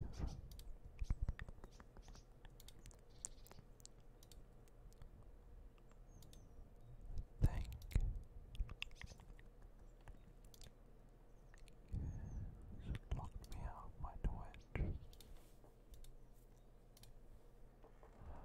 Thank you. locked me out my Twitch. Just save that.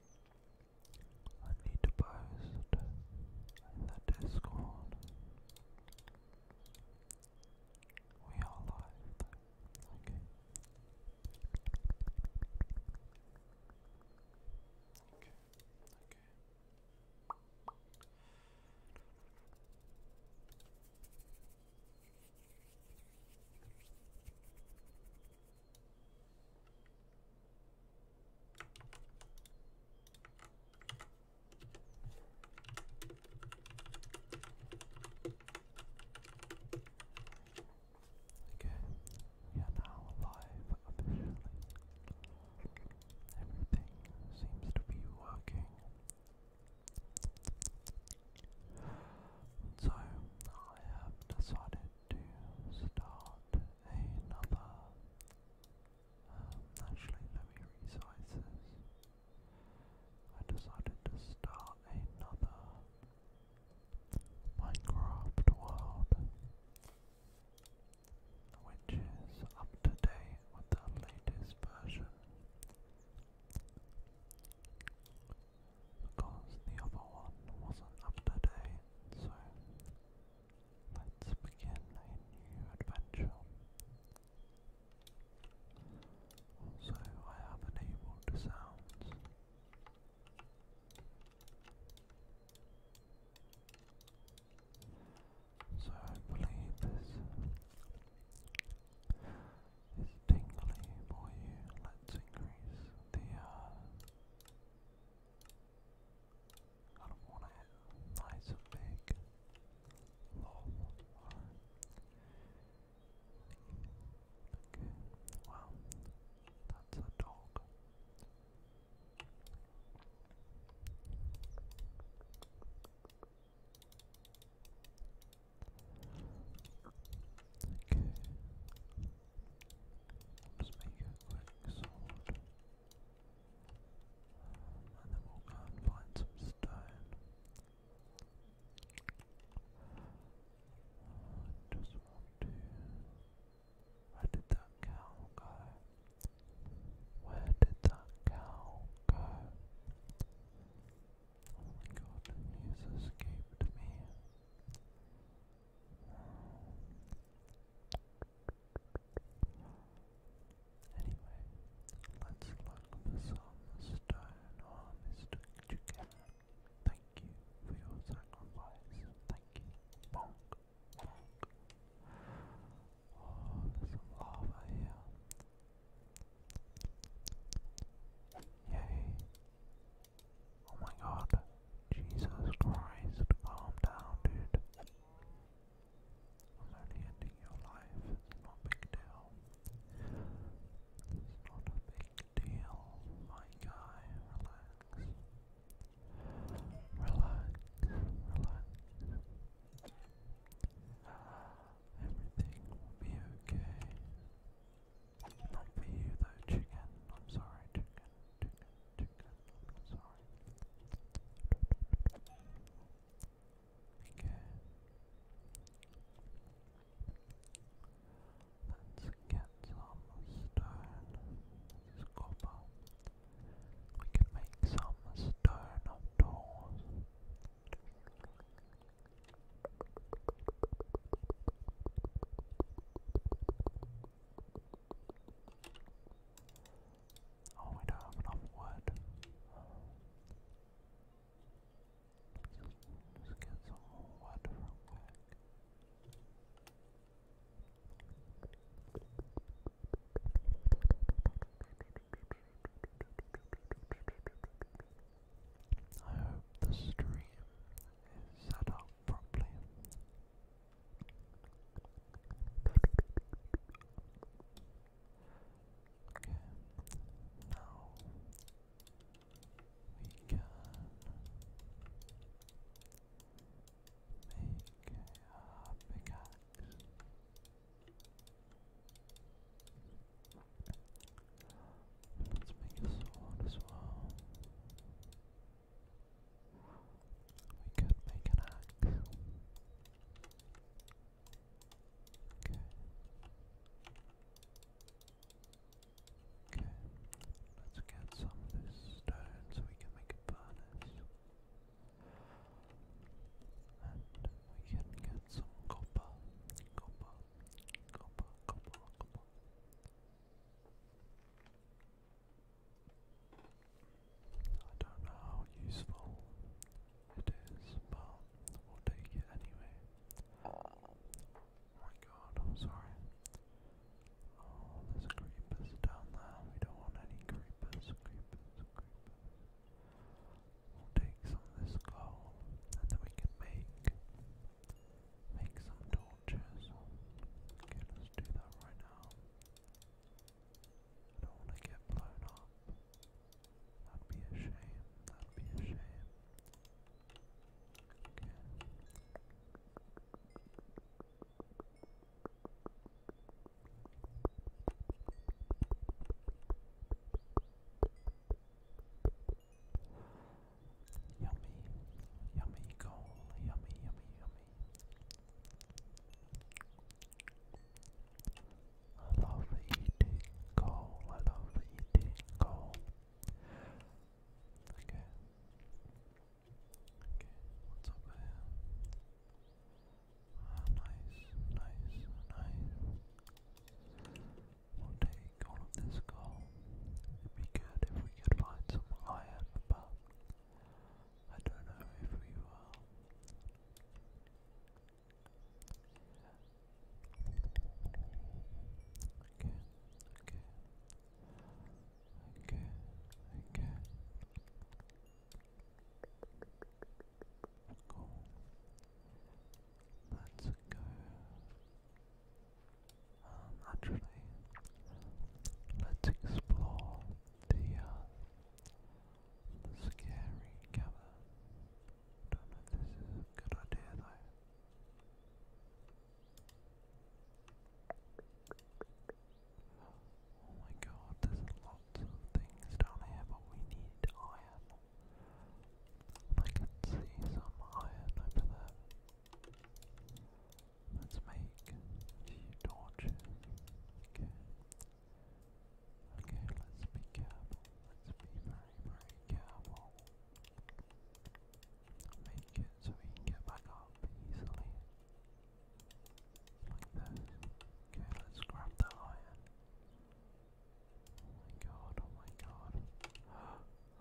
I need to post in the Discord. We are live Okay. Okay. Okay. Okay, we are now live officially. Everything seems to be working. So, I have decided to start another um, actually, let me resize this. I decided to start another Minecraft world, which is up to date with the latest version. Because the other one wasn't up to date, so Let's begin a new adventure. Also, I have enabled sounds. So I believe this is tingly for you. Let's increase the uh, I don't want it nice and big. Lol. Okay. Wow. That's a dog. Okay. Let's make a quick and then we'll go and find some stone. just want to. Where did that cow go? Where did that cow go? Oh my god, the escaped me. Anyway, let's look for some stone or Mr. Chicken. Thank you for your sacrifice. Thank you. Bonk, bonk. Oh, there's lava here. Yay. Oh my god. Jesus Christ, calm down, dude. I'm only ending your life, not a big deal. It's not a big deal, my guy. Relax. Relax, relax. Everything will be okay. Not for you though, chicken. I'm sorry, chicken. Two guns, Let's get some stone. This We can make some stone doors. Oh, we don't have enough wood. Just, get some more wood I hope the stream is set up properly. Okay, now we can make a pickaxe. Let's make a sword as well. We could make an axe. Okay. Okay. Let's get some of this stone so we can make a furnace. And we can get some copper. Copper. Copper, copper, copper. I don't know how useful it is, but we'll take it anyway. Oh my god, I'm sorry. Oh, there's creepers down there. We don't want any creepers, We'll take some of this coal, and then we can make make some torches. Okay, let's do that right now don't want to get blown up. That'd be a shame. That'd be a shame. Okay. Yummy, yummy goal, yummy, yummy, yummy. I love eating coal. I love eating coal. Okay. Okay, what's up nice, nice, nice. We'll take all this coal. It'd be good if we could find some iron, but I don't know if we will. Okay, okay, okay, okay. Cool. Let's go. actually, let's explore the, uh, scary cavern. Don't know if this is a good idea though. Oh my god, there's lots of things down here, but we need iron. I can see some iron over there. Let's make a few torches. Okay. let's be careful. Let's be very, very careful. Make it so we can get back up easily. Okay, let's grab that iron. Oh my god, oh my god.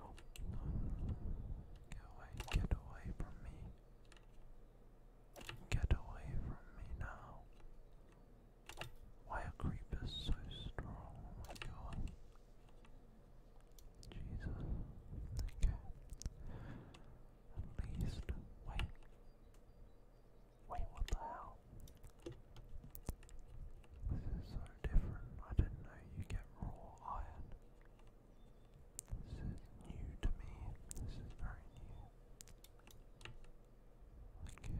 oh no. Get away, get away from me. Get away from me now. Why are creepers so strong? Oh my god. Jesus. Okay. At least. Wait. Wait, what the hell? This is so different. I do not know you get raw iron. This is new to me. This is very new. Okay.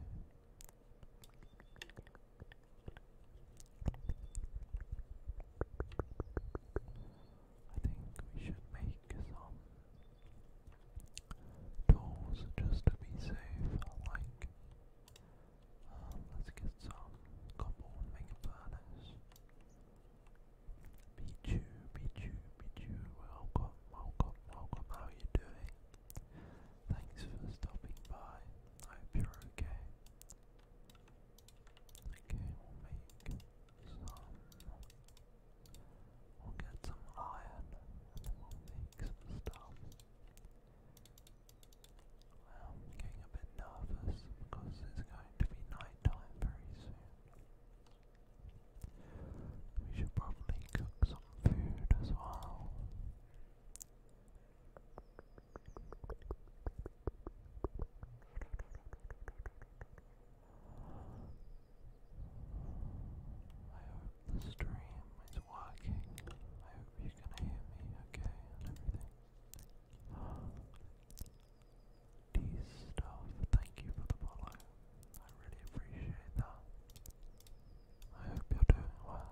I think we should make some tools just to be safe. Like, um, let's get some cobble and make a Pichu, Pichu, Pichu, welcome, welcome, welcome, how are you doing? Thanks for stopping by, I hope you're okay. Okay, we'll make some, we'll get some iron, and then we'll make some stuff. I'm getting a bit nervous because it's going to be night time very soon. We should probably cook some food as well. I hope the stream is working. I hope you can hear me okay D stuff, thank you for the follow. I really appreciate that. I hope you're doing well.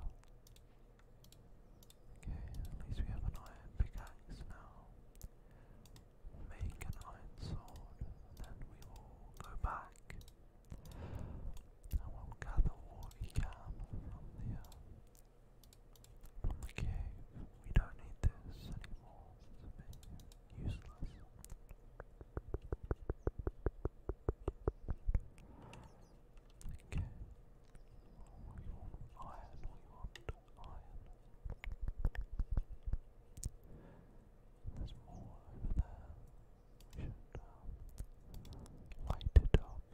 Okay, at least we have an iron pickaxe now. Make an iron sword, then we will go back. And we'll gather what we can from the, uh, from the cave. We don't need this anymore useless. Iron, Iron. There's more over there. light it up a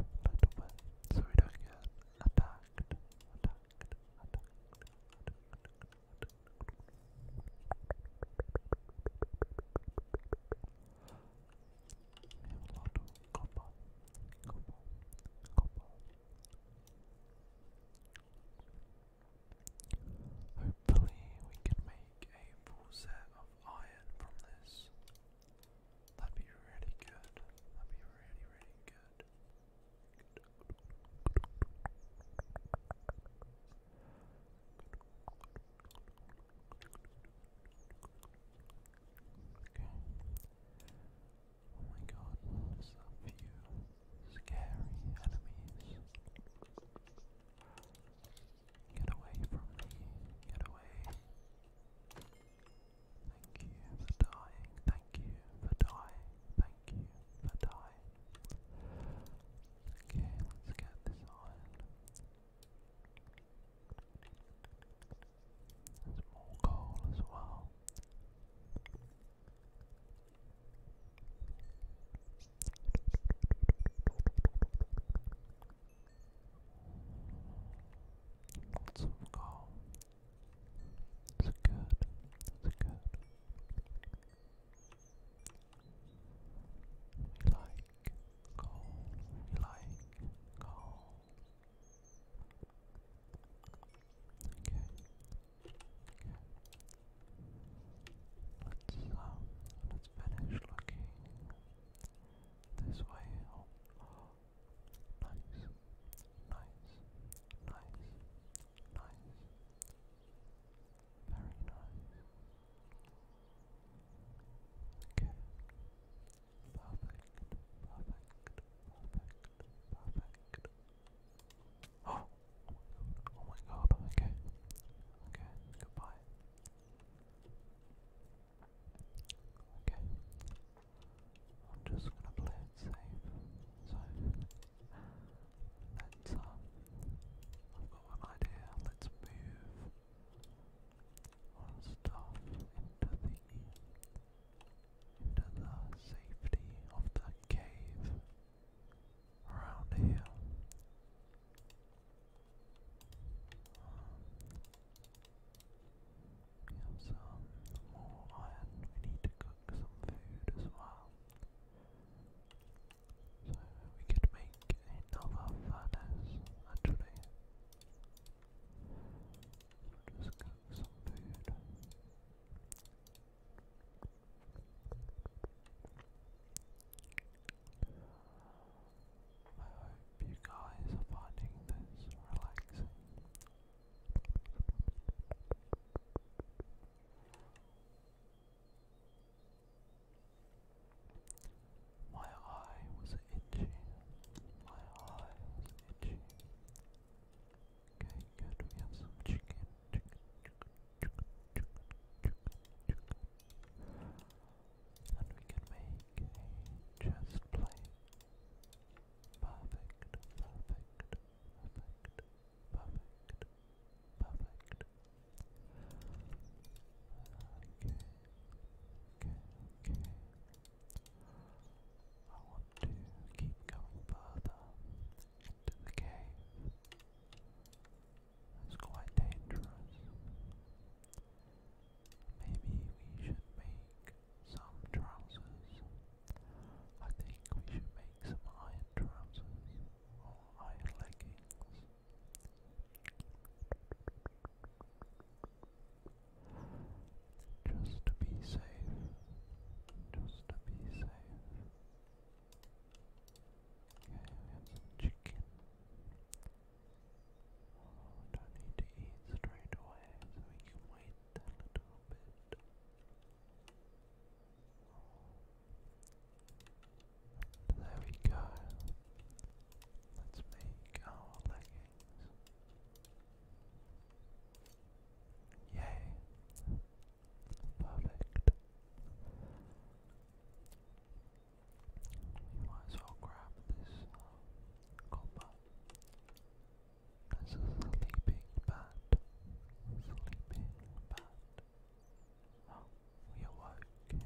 little bit so we don't get attacked. We have Hopefully, we can make a full set of iron from this. That'd be really good. That'd be really, really good. Oh my god, there's few scary enemies. Get away from me, get away. Thank you for dying, thank you for dying, thank Okay, let's get this on. There's more coal as well. Lots of that's good. That's good. like coal. like coal. Okay. Okay. Let's um let's finish looking this way. oh. nice, nice, nice, Nice. Very nice. Okay. Perfect. Perfect. Perfect. Perfect. Oh! Oh my god. Okay. Okay. Goodbye. Okay. I'm just gonna play it safe. Let's, um, I've got one idea. Let's move our stuff into the, into the safety of the cave around here. Um, we have some more iron. We need to cook some food as well. So we could make another furnace, actually. I hope you guys are finding this relaxing. My eye was itchy. My eye was itchy. Okay, good. We have some chicken. Chicken, chicken, chicken, chicken, chicken, And we can make a chest plate. Perfect, perfect, perfect. Okay. Okay. Okay. I want to keep going further into the cave. It's quite dangerous. Maybe we should make some trousers. I think we should make wearing some iron trousers or iron leggings. Just to be safe. Just to be safe. Okay, we have some chicken. Oh, don't need to eat straight away, so we can wait a little bit. There we go. Let's make our leggings. Yay. Perfect. You might as well grab this uh, copper. There's a sleeping bat. Sleeping bat. Oh, we awoke him.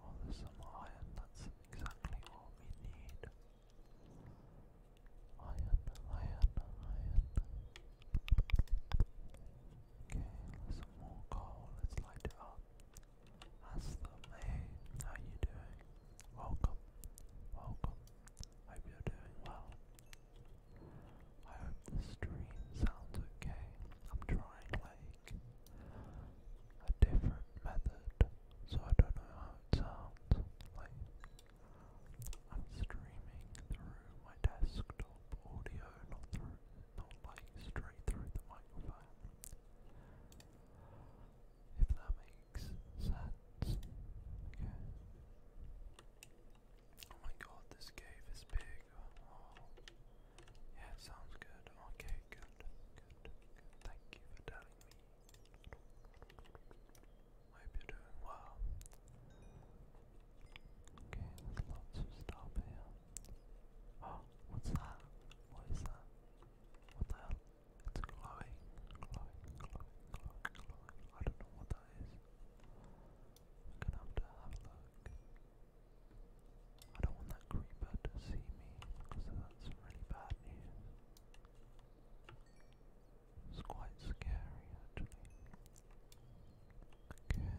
Oh, some iron. That's exactly what we need. Iron, iron, iron. Okay, some more coal. Let's light it up. That's them. how you doing? Welcome. Welcome. Hope you're doing well. I hope the stream sounds okay. I'm trying like a different method, so I don't know how it sounds. Like I'm streaming through my desktop audio, not through, not like straight through the microphone. If that makes sense. Okay. Oh my god, this cave is big. Oh, yeah, sounds good. Okay, good, good, Thank you for telling me. I hope you're doing well. Okay, lots of stuff here. Oh, what's that? What is that? What the It's glowing, glowing, glowing, glowing, glowing. I don't know what that is. I'm gonna have to have a look. I don't want that creeper to see me because that's really bad news. It's quite scary actually. Okay.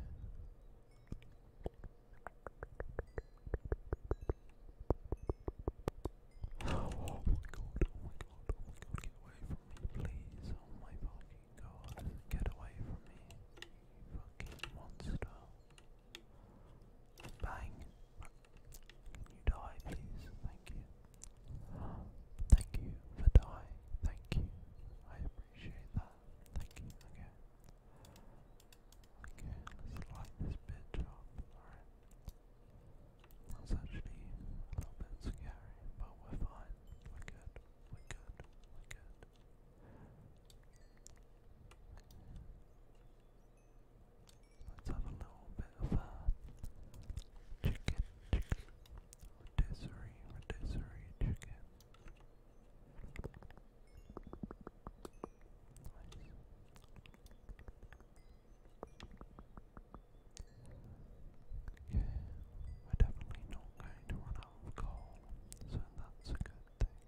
Oh my god, oh get away from me, please. Oh my fucking god, get away from me, you fucking monster. Bang. you die, please? Thank you. Thank you for dying. Thank you. I appreciate that. Thank you. Okay. Okay, let's light this bitch up. Alright. That's actually a little bit scary, but we're fine. We're good. We're good. We're good. Let's have a little bit of a chicken, chicken, rotisserie, rotisserie chicken. Yeah, we're definitely not going to run out of coal, so that's a good thing.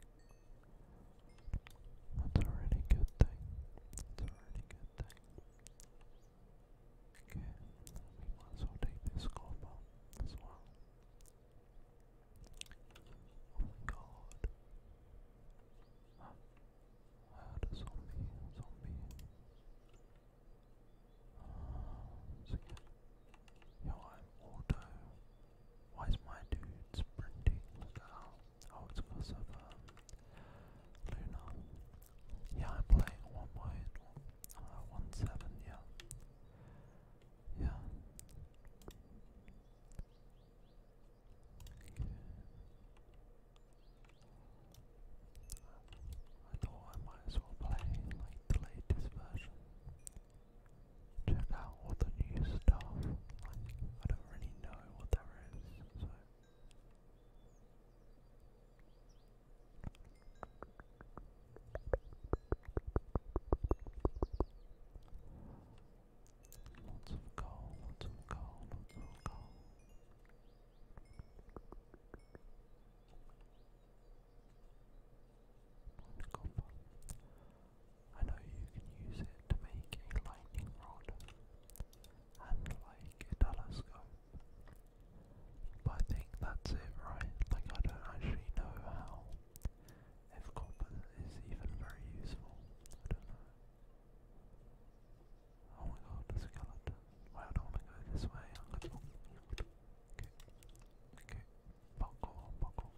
That's a really good thing. That's a really good thing. Okay, we might as take this copper as well. Oh my god. Huh? I zombie, zombie. Uh, auto. Why is my dude sprinting? Oh, it's because of um, Luna. Yeah, I'm playing one point. Uh, one seven. Yeah. Yeah. I thought I might as well play like the latest version. Check out all the new stuff. Like I don't really know what there is, so Copper. I know you can use it to make a lightning rod and like a telescope. But I think that's it, right? Like I don't actually know how. If copper is even very useful, I don't know. Oh my god, the skeleton. Why don't we go this way? Okay. Okay. Buckle, buckle.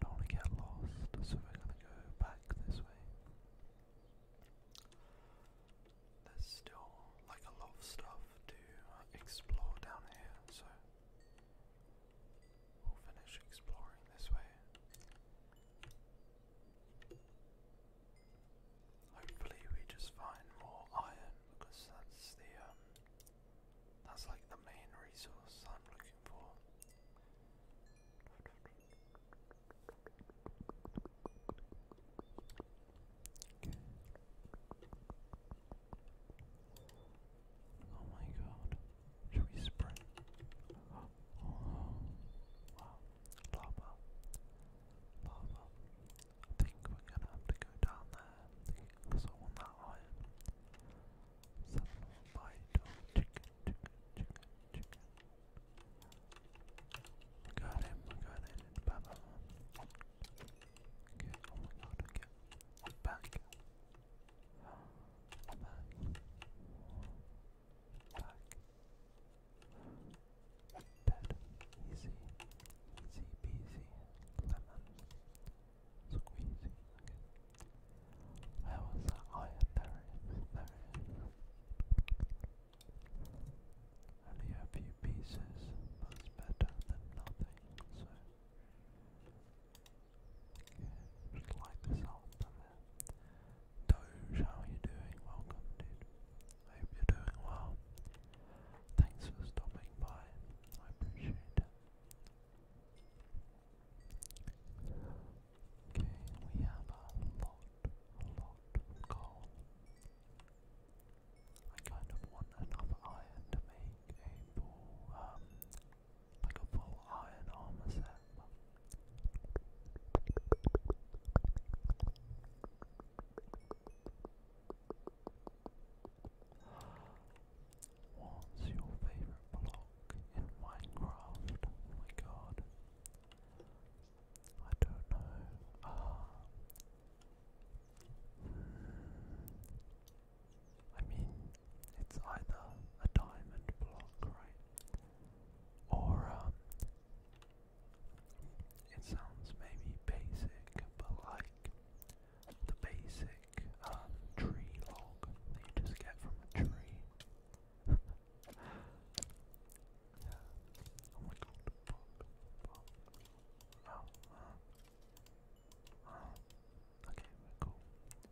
Don't get lost, so we're gonna go back this way. There's still like a lot of stuff to uh, explore down here, so we'll finish exploring this way. Hopefully we just find more iron because that's the um, that's like the main resource I'm looking for. Oh my god. Shall we spray? lava, lava. think we're gonna have to go down there because I want that iron. So bite chicken, chicken, chicken, chicken. We got him, we got him, bam, bam, Okay, oh my god, okay. Back. Back back. Dead. Easy. Easy peasy. Lemon. Squeezy. Okay. was that? Oh yeah, Only a few pieces. That's better than nothing. So. Okay, just light this up Doge, how are you doing? Welcome, dude. I hope you're doing well. Thanks for stopping by. I appreciate it. Okay, we have a lot, lot of coal. I kind of want enough iron to make a full, um, like a full iron armor set. What's your favorite block in Minecraft? Oh my god. I don't know. Ah. Hmm. I mean, it's either a diamond block, right? or um, it sounds maybe basic, but like the basic um, tree log you just get from a tree. yeah. Oh my god, fuck, oh, uh, oh. Okay, we're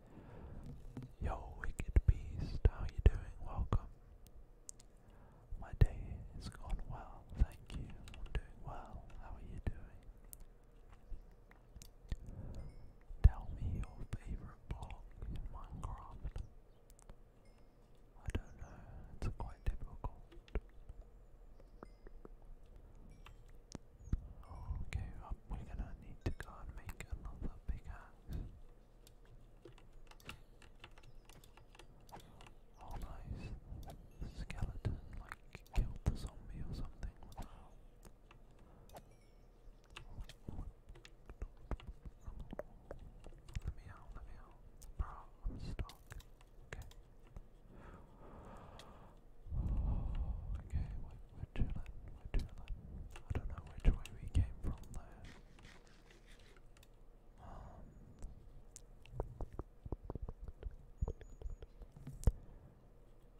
Yo, Wicked Beast, how you doing? Welcome. My day has gone well, thank you. I'm doing well. How are you doing? Tell me your favorite block in Minecraft. I don't know, it's quite difficult. Okay, um, we're gonna need to go and make another big axe. Oh nice. skeleton like killed the zombie or something. Let me out, let me out. Bro, I'm stuck. Okay. Okay, we're, we're chilling, we I don't know which way we came from there. Um,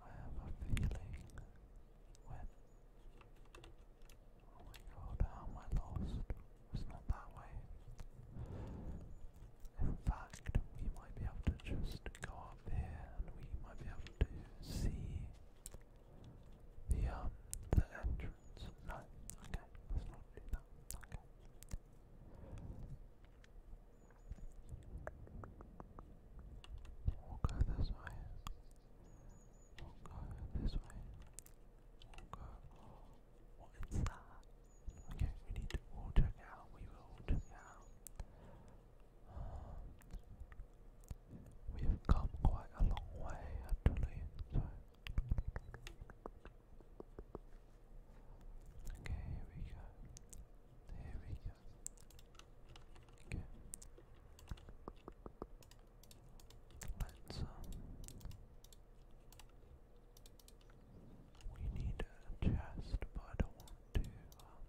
I have a feeling when. Oh my god, how am I lost? It's not that way. In fact, we might be able to just go up here and we might be able to see the um the entrance. No, okay, let's not do that. Okay. We'll go this way. We'll go this way. We'll go what is that? Okay, we need to all it out. We will all it out. We've come quite a long way actually. Okay, here we go. Here we go. Okay. Let's um, we need a chest, but I don't want to um,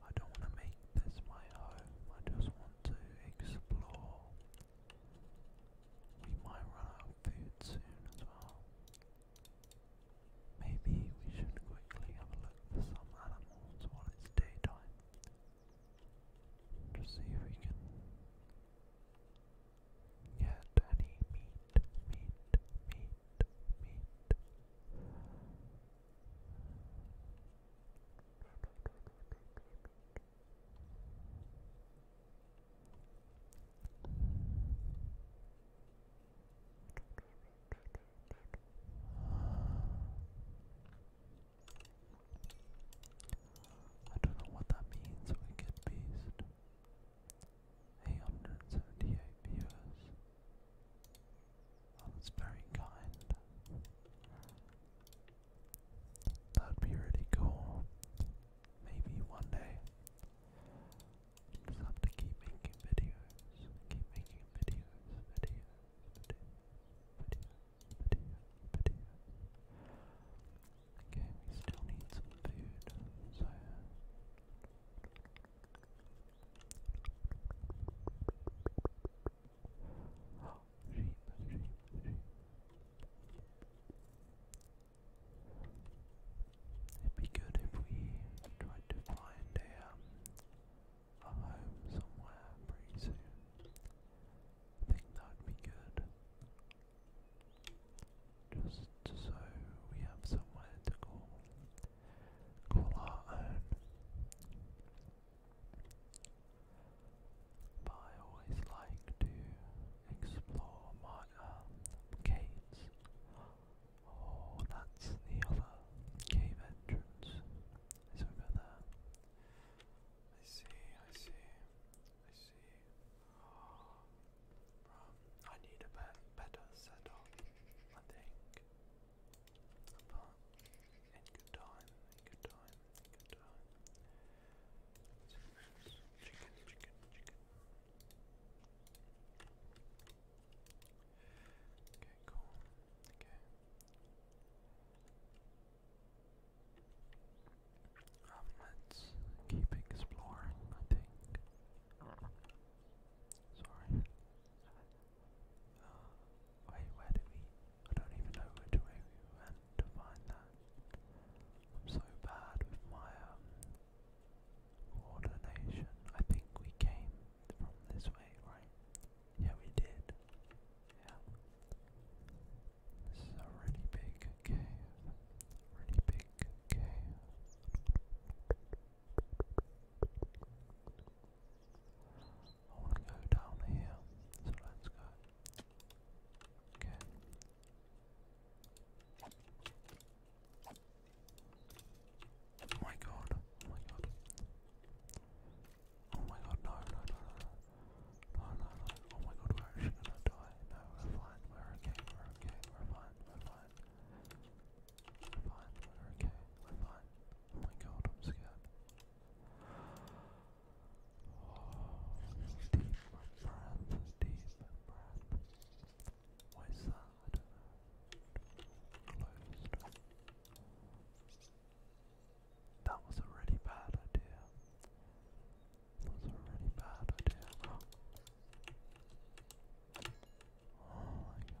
I don't want to make this my home. I just want to explore. We might run out of food soon as well. Maybe we should quickly look for some animals while it's daytime. To see if we can get any meat. I don't know what that means, wicked beast. 878 viewers. Well, that's very kind. That'd be really cool. Maybe one day. Just have to keep making videos. Keep making videos, videos, videos, videos, videos, videos. Okay, still need some food, so It'd be good if we tried to find a, um, a home somewhere pretty soon. I think that'd be good. Just so we have somewhere to call, call our own. But I always like to explore my um, caves. Oh, that's the other cave entrance. It's over there. I see, I see, I see. Oh, I need a better setup, I think. But in good time, in good time. Chicken, chicken, chicken. Okay, cool. Okay. let's keep exploring, I think. Sorry. Uh, wait, where do we I don't even know which way we went to find that. I'm so bad with my um, I think we came from this way, right? Yeah, we did. Yeah. This is a really big cave. Really big cave. I want to go down here, so let's go. Okay. Oh my god, oh my god. Oh my god, no, no, no, no, no, no, no, oh my god, we're gonna die. No, we're fine, we're okay, we're okay, we're fine, we're fine. We're fine, we're okay, we're fine. Oh my god, I'm scared. Deep breath, deep breath. Why is that? was a really bad idea. That was a really bad idea. oh my god.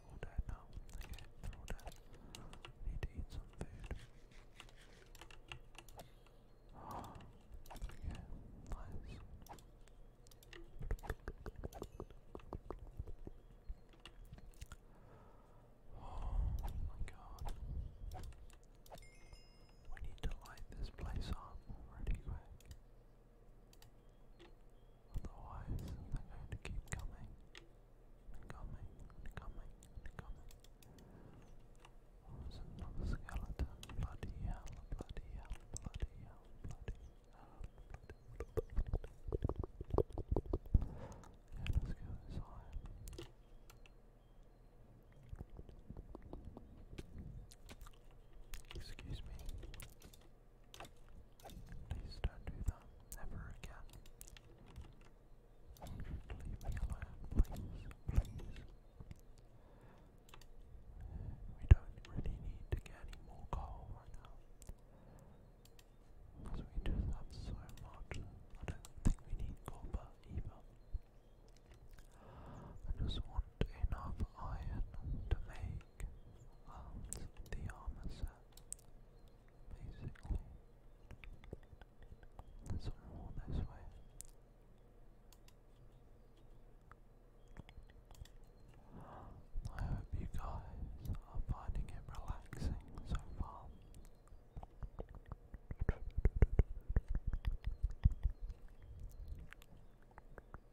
all dead now. Okay, all dead. I need to eat some food. okay, nice. Oh my god. We need to light this place up pretty quick. Otherwise, they're going to keep coming and coming and coming and coming. Oh, there's another skeleton. Bloody hell, bloody hell, bloody hell, bloody hell. Yeah, let's go inside. Excuse me. Please don't do that ever again. leave me alone, please. We don't really need to get any more coal right now. Because we just have so much. I don't think we need copper either. I just want enough iron to make think the armor set, basically. some more this way. I hope you guys are finding it relaxing so far.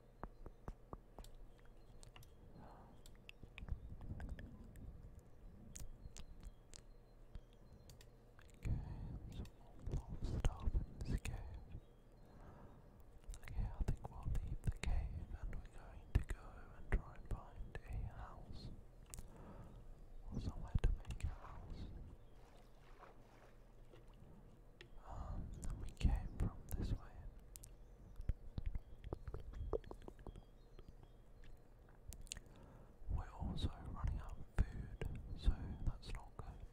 Okay, some more long stuff in this cave. Okay, I think we'll leave the cave and we're going to go and try and find a house. Or somewhere to make a house. Um, we came from this way. We're also running out of food, so that's not good.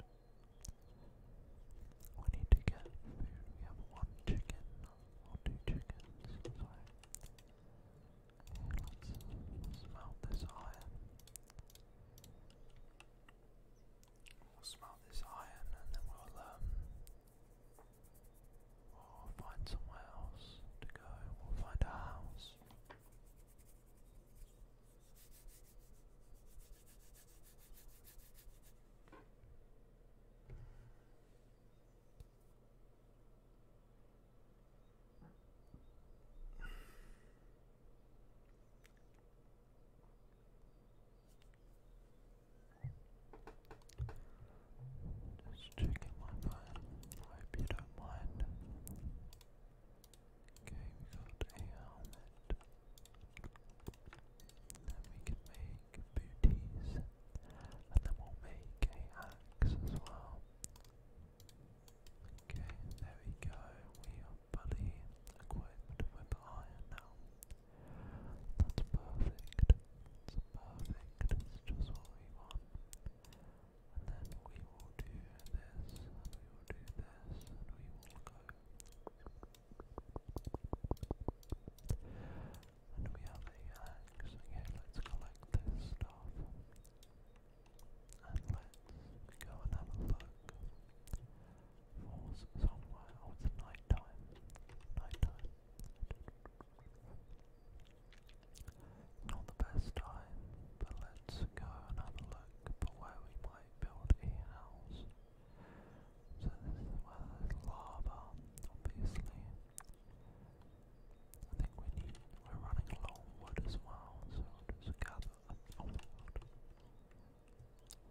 We need to get food. We have one chicken or two chickens, so let's smelt this iron. We'll smelt this iron and then we'll um, we'll find somewhere else to go. We'll find a house. Just checking my phone. I hope you don't mind. Okay, we got a helmet. Then we can make booties. And then we'll make a axe as well. Okay, there we go. We are fully equipped with iron now. That's perfect. It's perfect. It's just what we want. And then we will do this, we will do this, we will go. And we have the axe. Okay, let's collect this stuff. And let's go and have a look somewhere. Oh, it's night time. Not the best time, but let's go and have a look for where we might build a house. So this is lava, obviously. I think we need, we're running low on wood as well, so just gather, oh my god.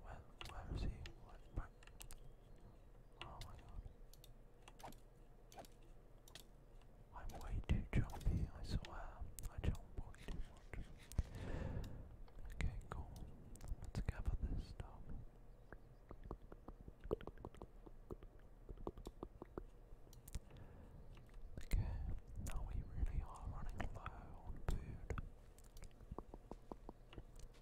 Where, where is he? Oh my god. I'm way too jumpy, I swear. I jump way too much. Okay, cool. Let's gather this stuff. Okay, now we really are running low on food. Maybe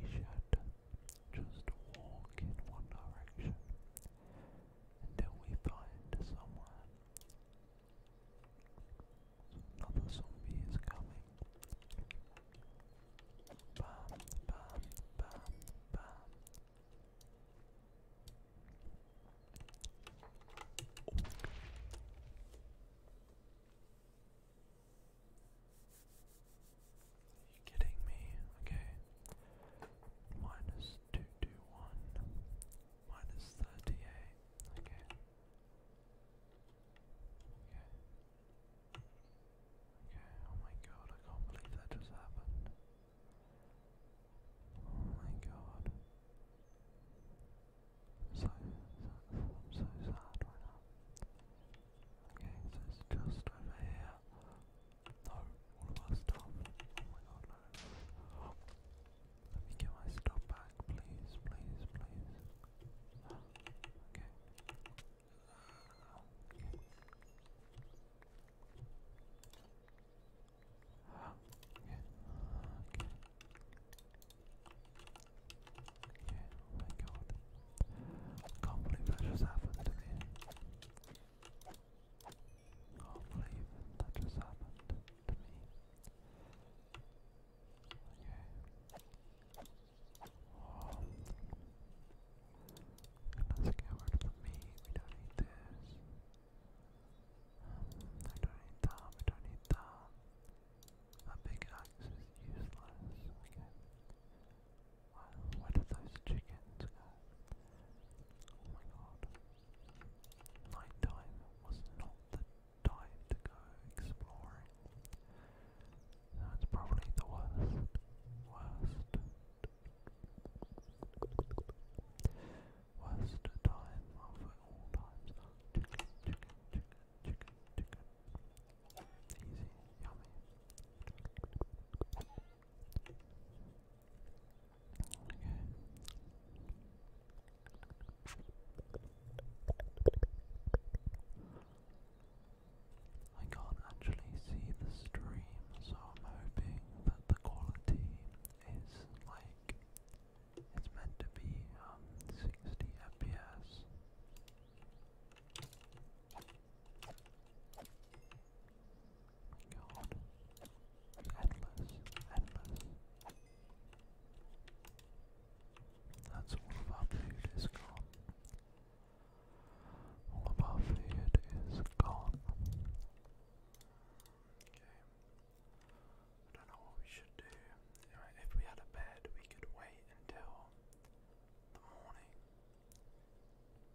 we should just walk in one direction until we find somewhere. Another zombie is coming. Are you kidding me? Okay. Minus two two one. Minus thirty eight. Okay. Okay. Okay, oh my god, I can't believe that just happened. Oh my god. So, so am so sad right now. Okay, it's just over here. No, all of our stuff. Oh my god, no. Let me get my stuff back, please, please, please. Okay my god. can't believe that just happened to me. Can't believe that just happened to me. Okay let don't need this. Um, I don't need that. We don't need that. That big axe is useless. Okay. Wow, those chickens Oh my god. Nighttime was not the time to go exploring. That's probably the worst, worst Worst time of all times. Chicken, chicken, chicken, chicken, chicken. Easy, yummy. Okay. I can't actually see the stream, so I'm hoping that the quality is like it's meant to be um, 60 FPS. God, endless, endless. That's all our food is gone. All above it is gone. Okay. I don't know what we should do. if we had a bed, we could wait until the morning.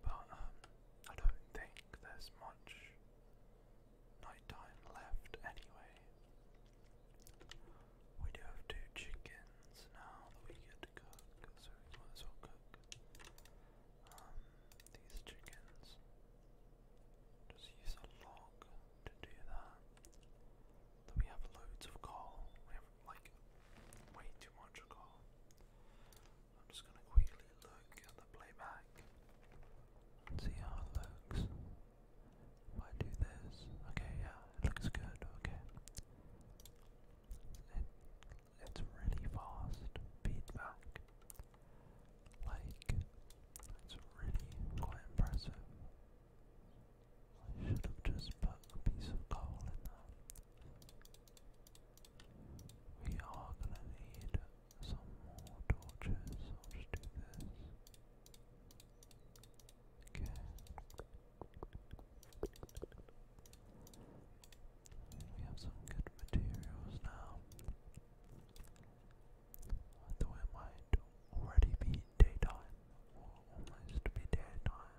But um, I don't think there's much nighttime left anyway. We do have two chickens now that we get to cook, so we might cook. Um, these chickens. Just use a log to do that. Then we have loads of coal. We have like way too much coal. I'm just gonna quickly look at the playback see how it looks. If do this, okay, yeah, it looks good, okay it's really fast feedback. Like, it's really quite impressive. I should have just put a piece of coal in there. We are gonna need some more torches. I'll just do this. Okay. We have some good materials now. Though it already be daytime, or almost be daytime,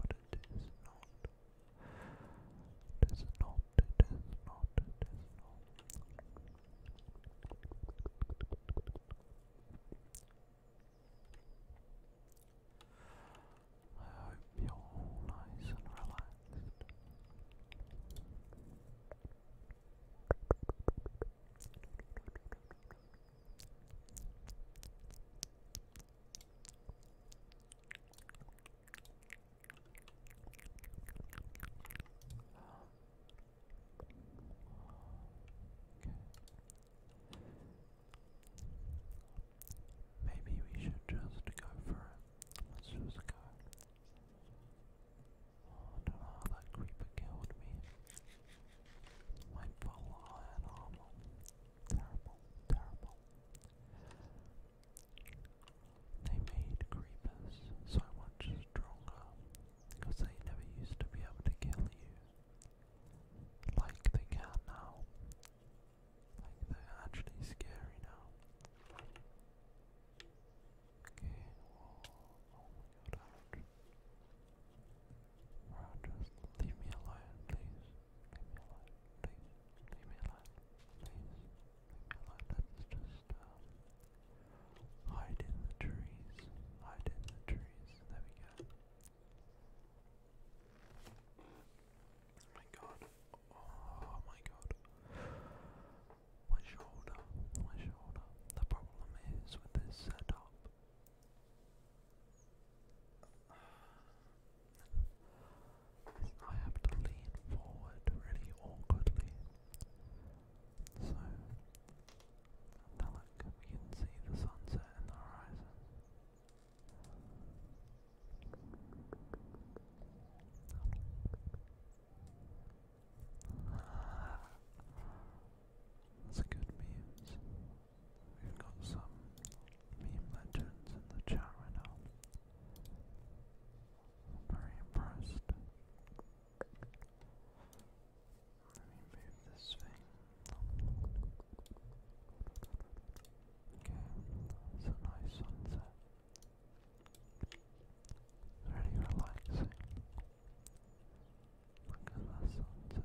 but it is not. It is not, it is not, it is not. I hope you're all nice and relaxed. Okay. Maybe we should just go for it. Let's just go. Oh, I don't know that creeper killed me. My full Terrible, terrible. They made creepers so much stronger because they never used to be able to kill you like they can now. Like they're actually scary now. Okay, whoa, oh my god, ouch. Bro, just leave me alone, please. Leave me alone, please. Leave me alone, please. Leave me alone. Let's just um, hide in the trees. Hide in the trees. There we go. Oh my god. Oh my god. My shoulder. My shoulder. The problem is with this setup. I have to lean forward really awkwardly. So, now look, we can see the sunset in the horizon. That's good memes. We've got some meme legends in the chat right now. very impressed. Let me move this thing. Okay, it's a nice sunset. Really relaxing. Look at that sunset,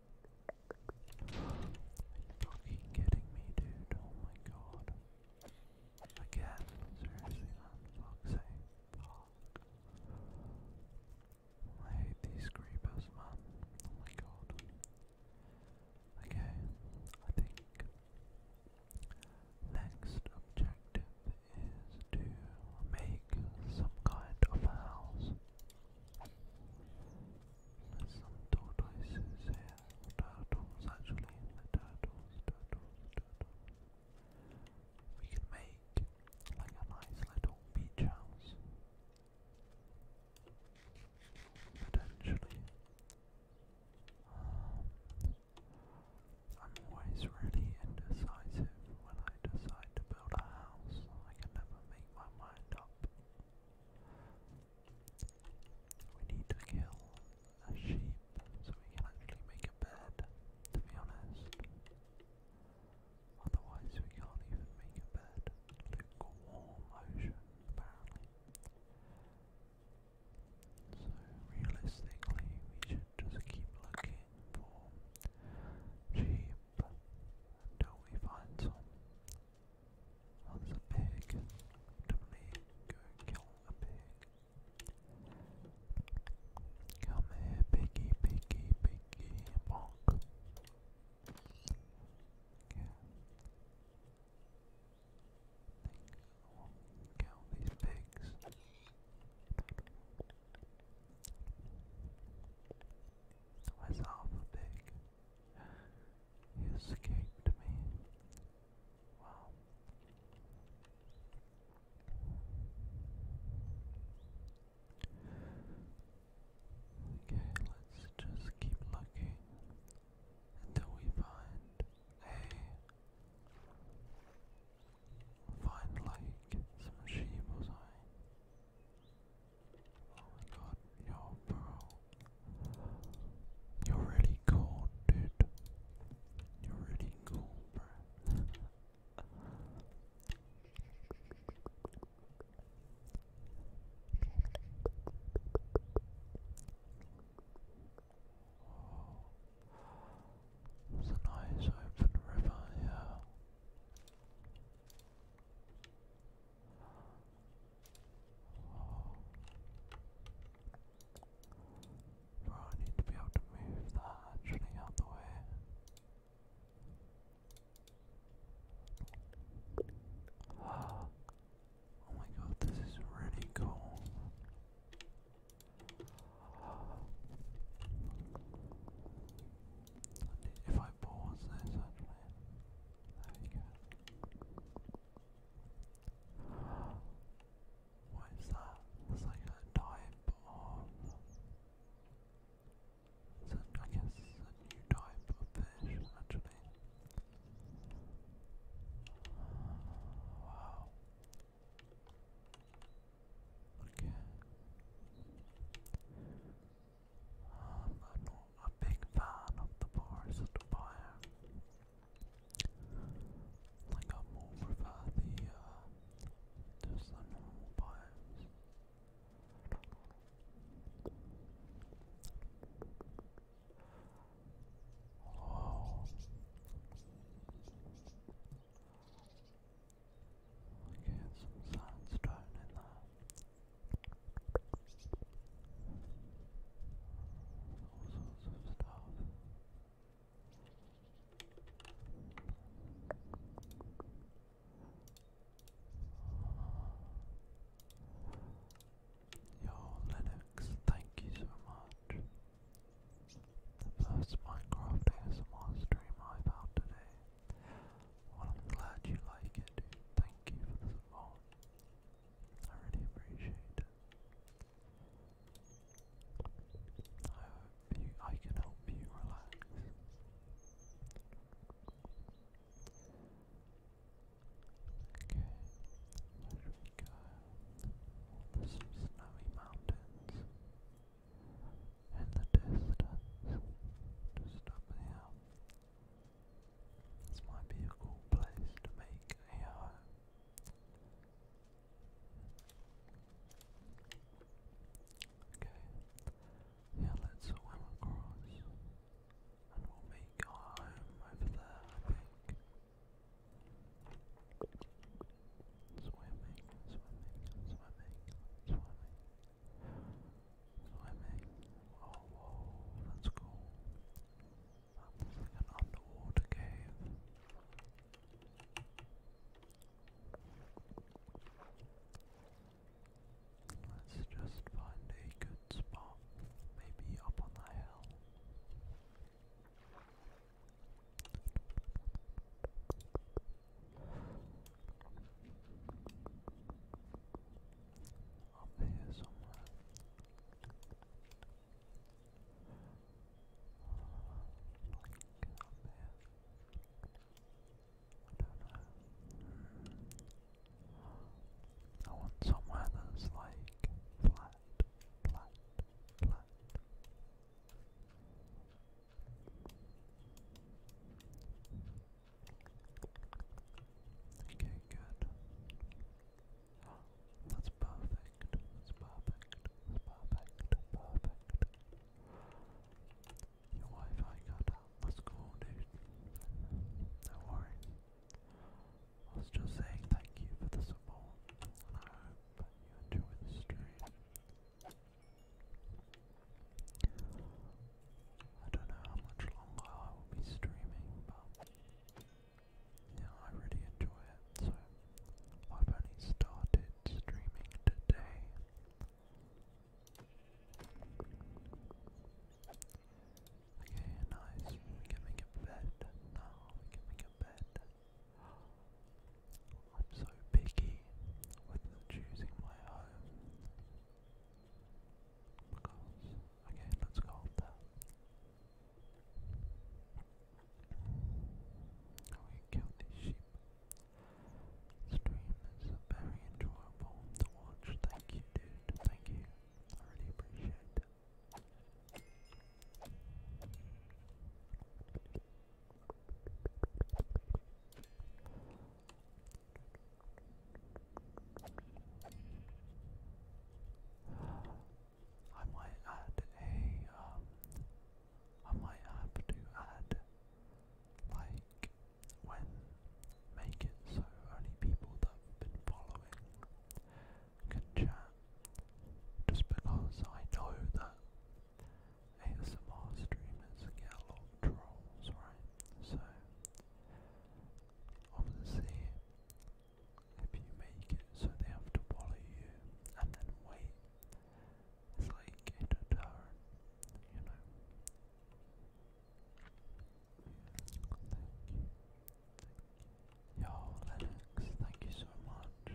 fucking kidding me, dude. Oh my god. Again, seriously, man. Fuck's sake. I hate these creepers, man. Oh my god. Okay, I think next objective is to make some kind of house. There's some tortoises here, turtles actually, the turtles, turtles, turtles. We can make like a nice little beach house. Potentially. Um, I'm always really indecisive when I decide to build a house. I can never make my mind up. We need to kill a sheep so we can actually make a bed, to be honest. Otherwise we can't even make a bed. Lukewarm ocean, apparently. So realistically we should just keep looking for sheep until we find some. Oh, there's a pig. Definitely go kill a pig. Come here, piggy, piggy, piggy, bonk. I think i kill these pigs. Where's half pig? He escaped me. Okay, let's just keep looking until we find a find like some sheep or something. Oh my god, yo bro. You're really cool, dude. You're really cool, it's a nice open river, yeah. I need to be able to move that actually out the way. Oh my god, this is really cool. If I pause this, actually, what is that? It's like a type of. It's guess a new type of fish, actually. wow. Okay. I'm not a big fan of the Forest Fire. Like I'm more prefer the uh, just the normal biomes. Whoa. Okay, some sandstone in there. Yo, Linux, thank you so much. The first Minecraft ASMR stream I've out today. I'm glad you like it, Thank you for the support. I really appreciate it. I hope you, I can help you relax. Okay, where should we go? snowy mountains in the distance, just up here. This might be a cool place to make a home. Okay, yeah, let's swim across and we'll make our home over there, Swimming, swimming, swimming, swimming. Swimming. Oh, that's cool. That like an underwater cave. Let's just find a good spot, maybe up on the hill. Up here somewhere. Like up here. I don't know. Hmm. I want somewhere that's like flat, flat, flat. Okay, good. that's perfect. That's perfect. That's perfect. Perfect. Your Wi-Fi got out. That's cool, dude. Don't I was just saying thank you for the support, and I you enjoy the stream. I don't know how much longer I will be streaming, but yeah, I really enjoy it. So I've only started streaming today. nice. We can make a bed now. We can make a bed. I'm so picky with choosing my home okay, let's go up there. I oh, these sheep. Stream is very enjoyable to watch. Thank you, dude. Thank you. I really appreciate it. I might add a um, might have to add like when make it so only people that have been following can chat just because I know that ASMR streamers get a lot of trolls, right? So of if you make it so they have to follow you and then wait. It's like a you know. Thank you. Thank Lennox, thank you so much.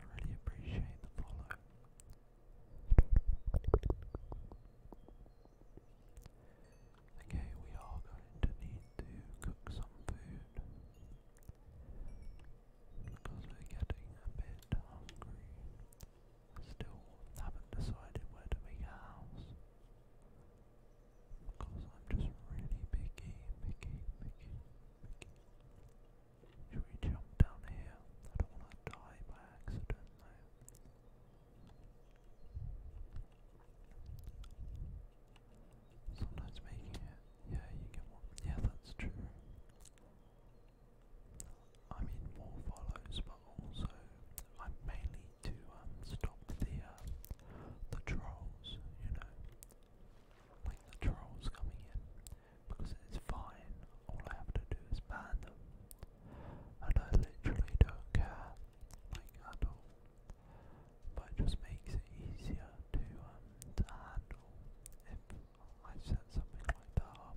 I really appreciate the follow. Okay, we are going to need to cook some food because we're getting a bit hungry. Still haven't decided where to make a house because I'm just really picky, picky, picky, picky. Should we jump down here? I don't want to die by accident though. Sometimes making it, yeah, you get Yeah, that's true. I mean, more follows, but also I'm mainly to um, stop the uh, the trolls, you know, like the trolls coming in, because it's fine. All I have to do is ban them, and I literally don't care like handle, but it just makes it easier to um, to handle if I set something like that up.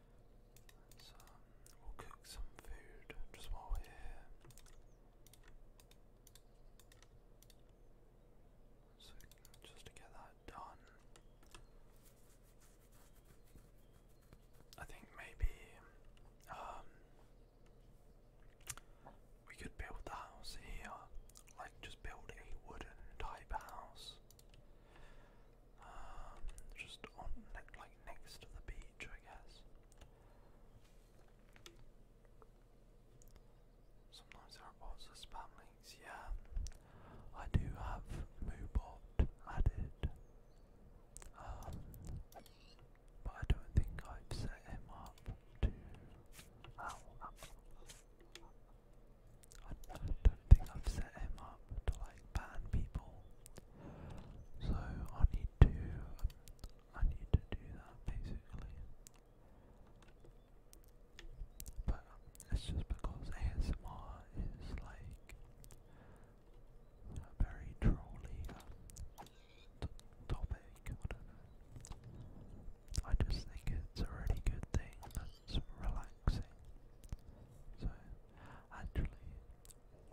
So um, we'll cook some food just while we're here. So just to get that done. I think maybe um, we could build the house here. Like just build a wooden type house. Um, just on like next to the beach I guess. Sometimes there bots that spam yeah. I do have MooBot added. Um, but I don't think I've set him up to. I don't think I've set him up to like ban people. So I need to, um, I need to do that basically. But um, it's just because ASMR is like a very trolly um, topic, I I just think it's a really good thing that's relaxing. So actually,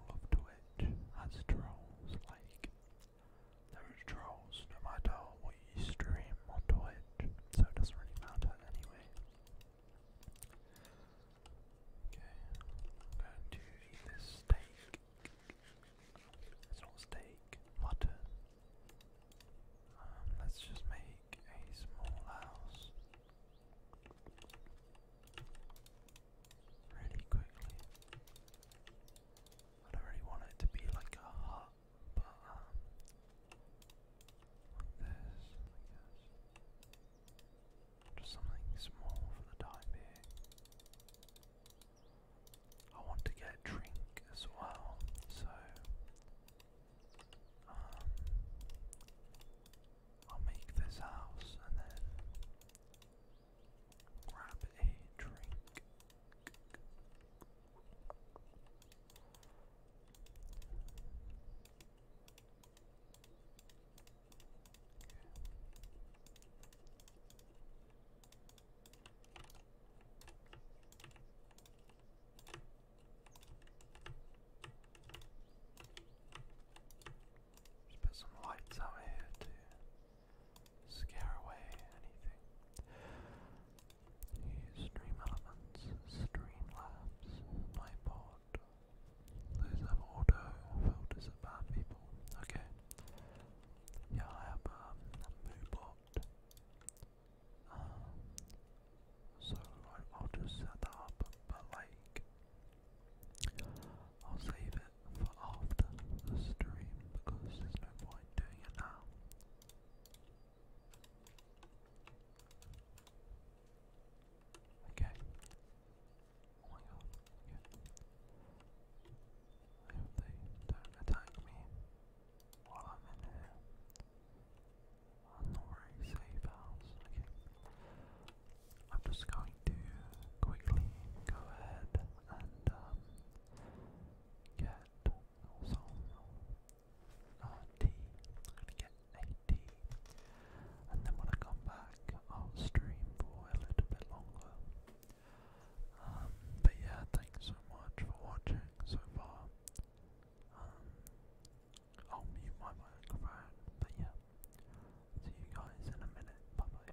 of Twitch as trolls. Like, there trolls no matter what you stream on Twitch, so it doesn't really matter anyway. Okay, i to eat this steak. It's not steak, mutton. Um, let's just make a small house really quickly. I don't really want it to be like a hut, but um, like this, I guess. Just something small for the time being. I want to get a drink as well, so um, I'll make this house and then grab a drink. Just put some lights out here to scare away anything. stream elements, stream labs, Nightbot. Those filters bad people. Okay. Yeah, I have a um, Moobot. Uh, so I'll just set up, but like, I'll save it for after the stream because there's no point doing it now. Okay. Oh my god. Okay. they don't attack me while I'm in here. I'm not very safe I'm just going to quickly go ahead and um, get some uh, get a And then when I come back, I'll stream for a little bit longer. Um, but yeah, thanks so much for watching so far. Um, I'll oh, mute my but yeah, See you guys in a minute. Bye bye.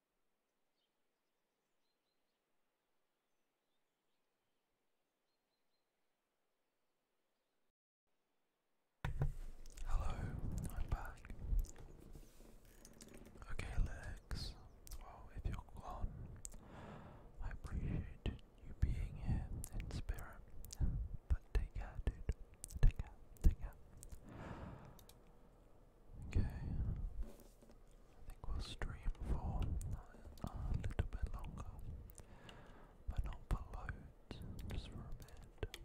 Hello, I'm back. Okay, Lex. Well, if you're gone, I appreciate you being here in spirit. But take care, dude. Take care, take care. Okay, I think we'll stream for uh, a little bit longer, but not for just for a bit.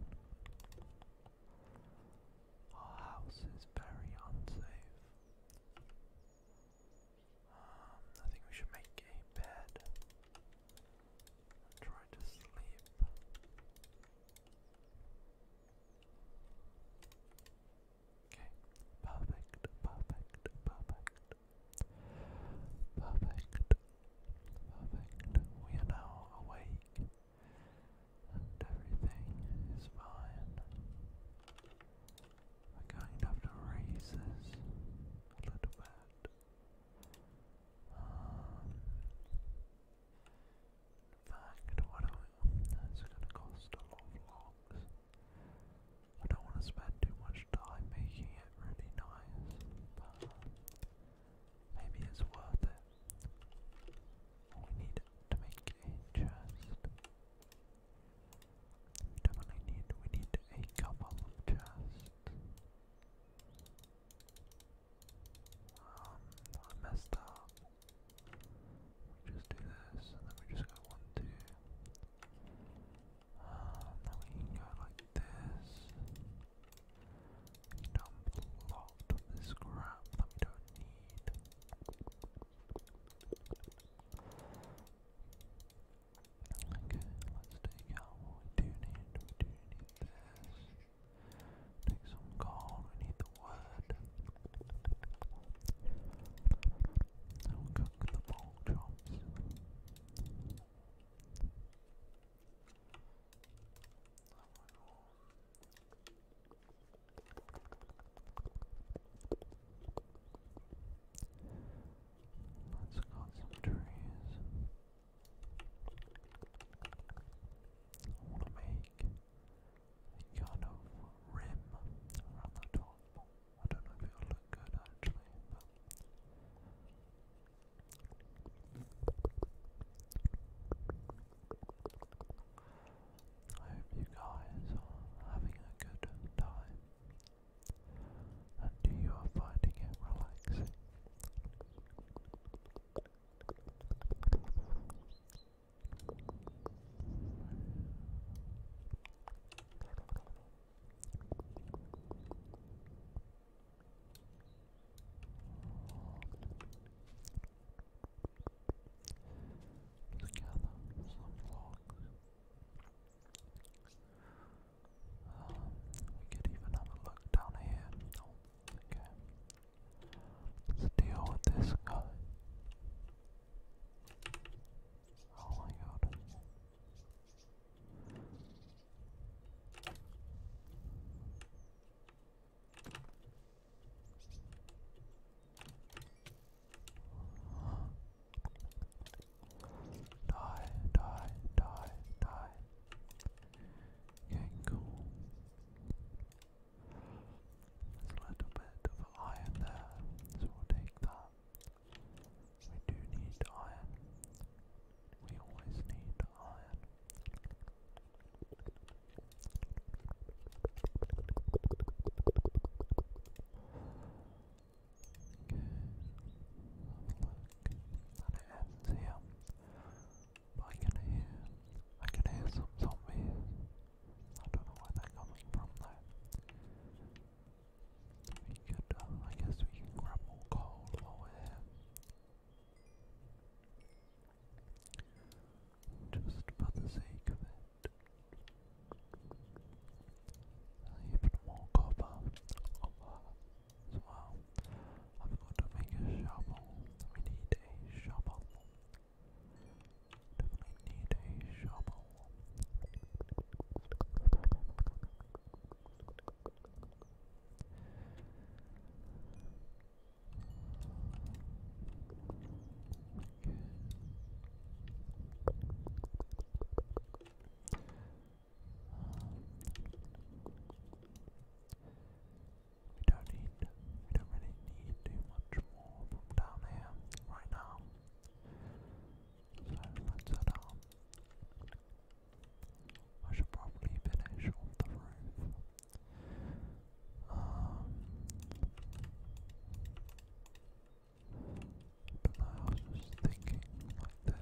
Our house is very unsafe. Um, I think we should make a bed try to sleep. Okay, perfect, perfect, perfect, perfect, perfect. We are now awake, and everything is fine. We're going raise this a little bit. Um, fact, what do we, that's going to cost a lot of locks. I don't want to spend too much time making it really nice, but maybe it's worth it. We need to make a definitely need, we need a couple of chests. Um, I messed up. We just do this, and then we just go one, two. then um, we go like this. We dump a lot of this scrap that we don't need. Okay, let's take out what we do need. Take some gold, need the wood. cook the pork Let's cut some trees. I want to make kind of rim around the top. I don't know if it'll look good actually, I hope you guys are having a good time and you are finding it relaxing. Um, we could even have a look down here. Oh, Okay. Let's deal with this guy. Oh my god. Die, die, die, die. Yeah, cool. There's a little bit of iron there, so we'll take that. We do need iron. We always need iron. Okay, have a look. I can hear, I can hear some I don't know where they're coming from though. We could, uh, I guess we can grab more coal while here. Just for the sake of it. Even more copper as well. I'm going to make a shovel. We need a shovel. Definitely need a shovel. We don't need, we don't really need too much more from down here right now. So let's head up. I should probably finish off the roof. Um, but I was just thinking like this.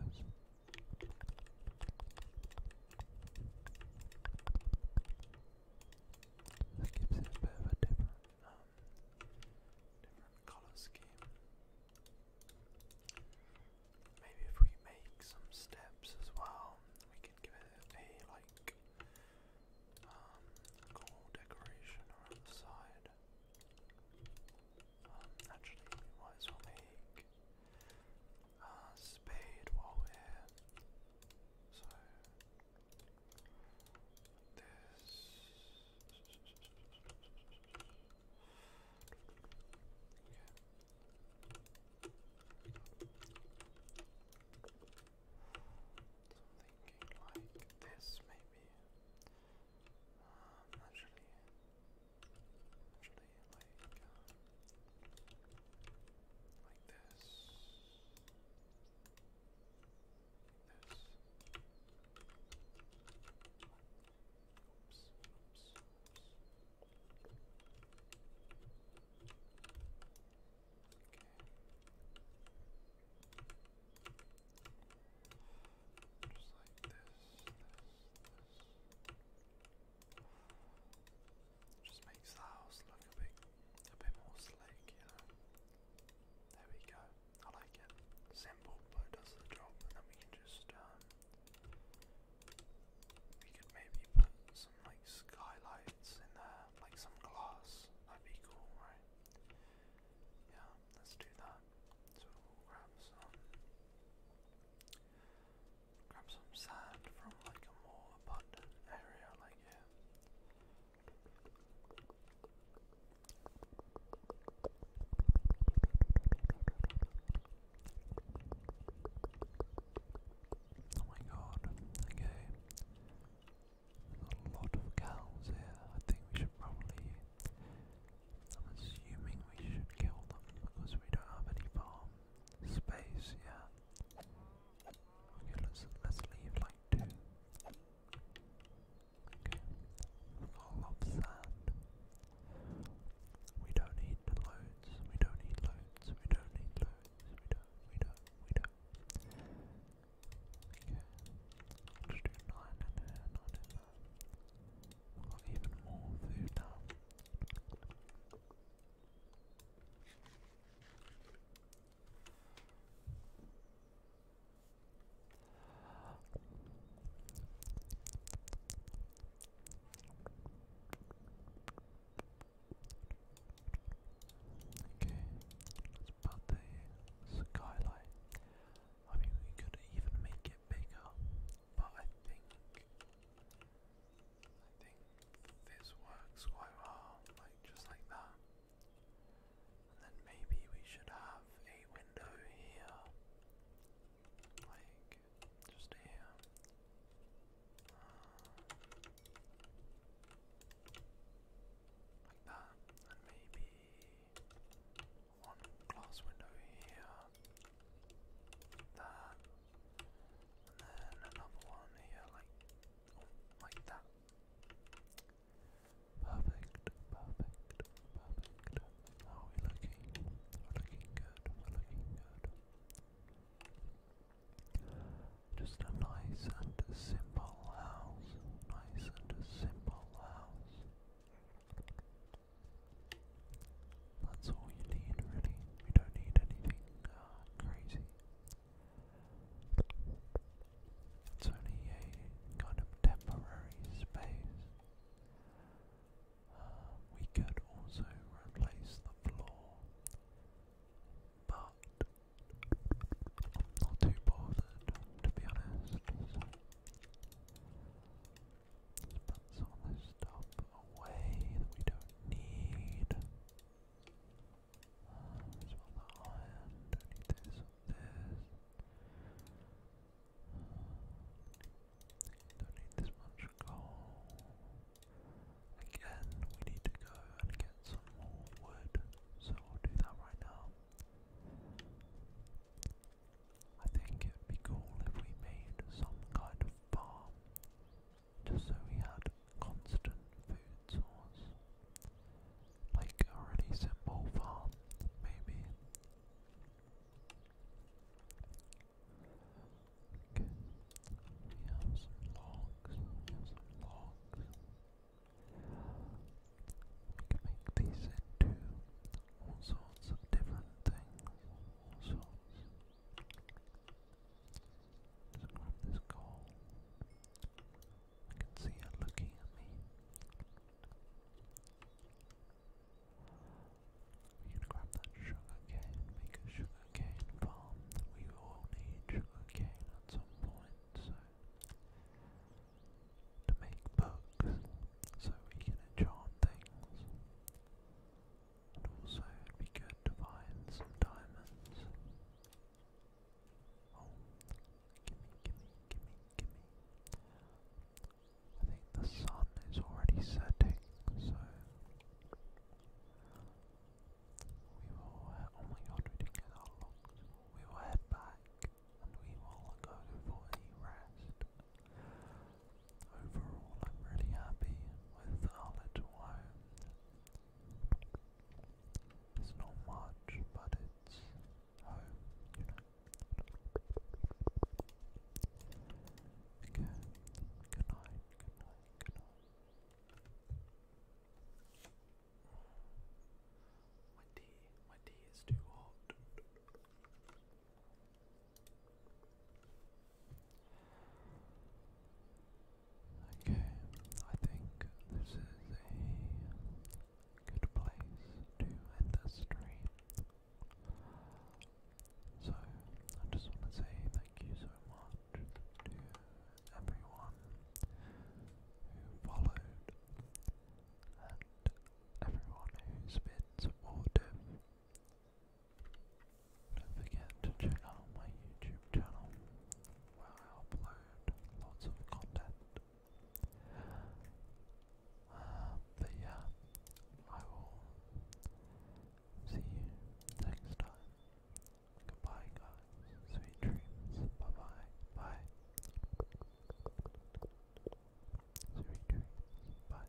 That gives it a bit of a different, um, different color scheme. Maybe if we make some steps as well, we can give it a like um, cool decoration around the side. Um, actually, we might as uh, spade while we So this okay. So I'm thinking like this maybe. Um, actually, actually like uh, like this. Like this. Oops, oops, oops. Okay. Just like this, this, this. Just makes the house look a bit, a bit more slick, you know. There we go. I like it. Simple, but does the job. And then we can just, um, we could maybe put some like skylights in there, like some glass. that be cool, right? Yeah, let's do that. So we'll grab some grab some sand from like a more abundant area like here. Oh my god, okay. a lot of cows here. I think we should probably. I'm assuming we should kill them because we don't have any farm space, yeah. Okay, let's let's leave like two. Okay. All of sand. We don't need the loads. We don't need loads. We don't need loads. We don't. We don't. We don't. Okay. I'll just do nine in there, nine in there. We've got even more food now. Okay, let the skylight. I mean, we could even make it bigger, but I think I think this works quite well, like just like that. And then maybe we should have a window here. Like, just here. Uh, like that. And maybe one glass window here. That. And then another one here, like like that. Perfect, perfect, perfect. are we looking? looking good, looking good. Just a nice and simple house. Nice and a simple house. That's all you need, really. We don't need anything uh, crazy. It's only a kind of temporary space. Uh, we could also replace the floor, but I'm not too bothered to be honest. So some stuff away that we don't need. Um, some of the iron, don't need this, don't need this much coal. Again, we need to go and get some more wood, so we'll do that right now. I think it'd be cool if we made some kind of farm just so we had constant food source. Like a really simple farm, maybe. Okay, logs, logs. We can make these into all sorts of different things, so grab this coal. I can see her looking at me. We're grab that sugar cane, make a sugar cane farm. We all need sugar cane at some point, so to make books, so we can enchant things. And also, be good to find some diamonds. Oh, gimme, gimme, gimme, gimme. I think the sun is already setting, so. We will. oh my god, we didn't get that long. We will head back and we will go for a rest. Overall, I'm really happy with our little home. It's not much, but it's home, you know. Okay, good night, good night, good night. My tea, my tea is too hot. Okay, I think this is a good place to end the stream. So, I just want to say thank you so much to everyone who followed and everyone who's been supportive. Don't forget to check out my YouTube channel where I upload lots of content. Uh, but yeah, I will see you next time. Goodbye, guys. Sweet dreams. Bye bye. Bye. Sweet dreams. Bye.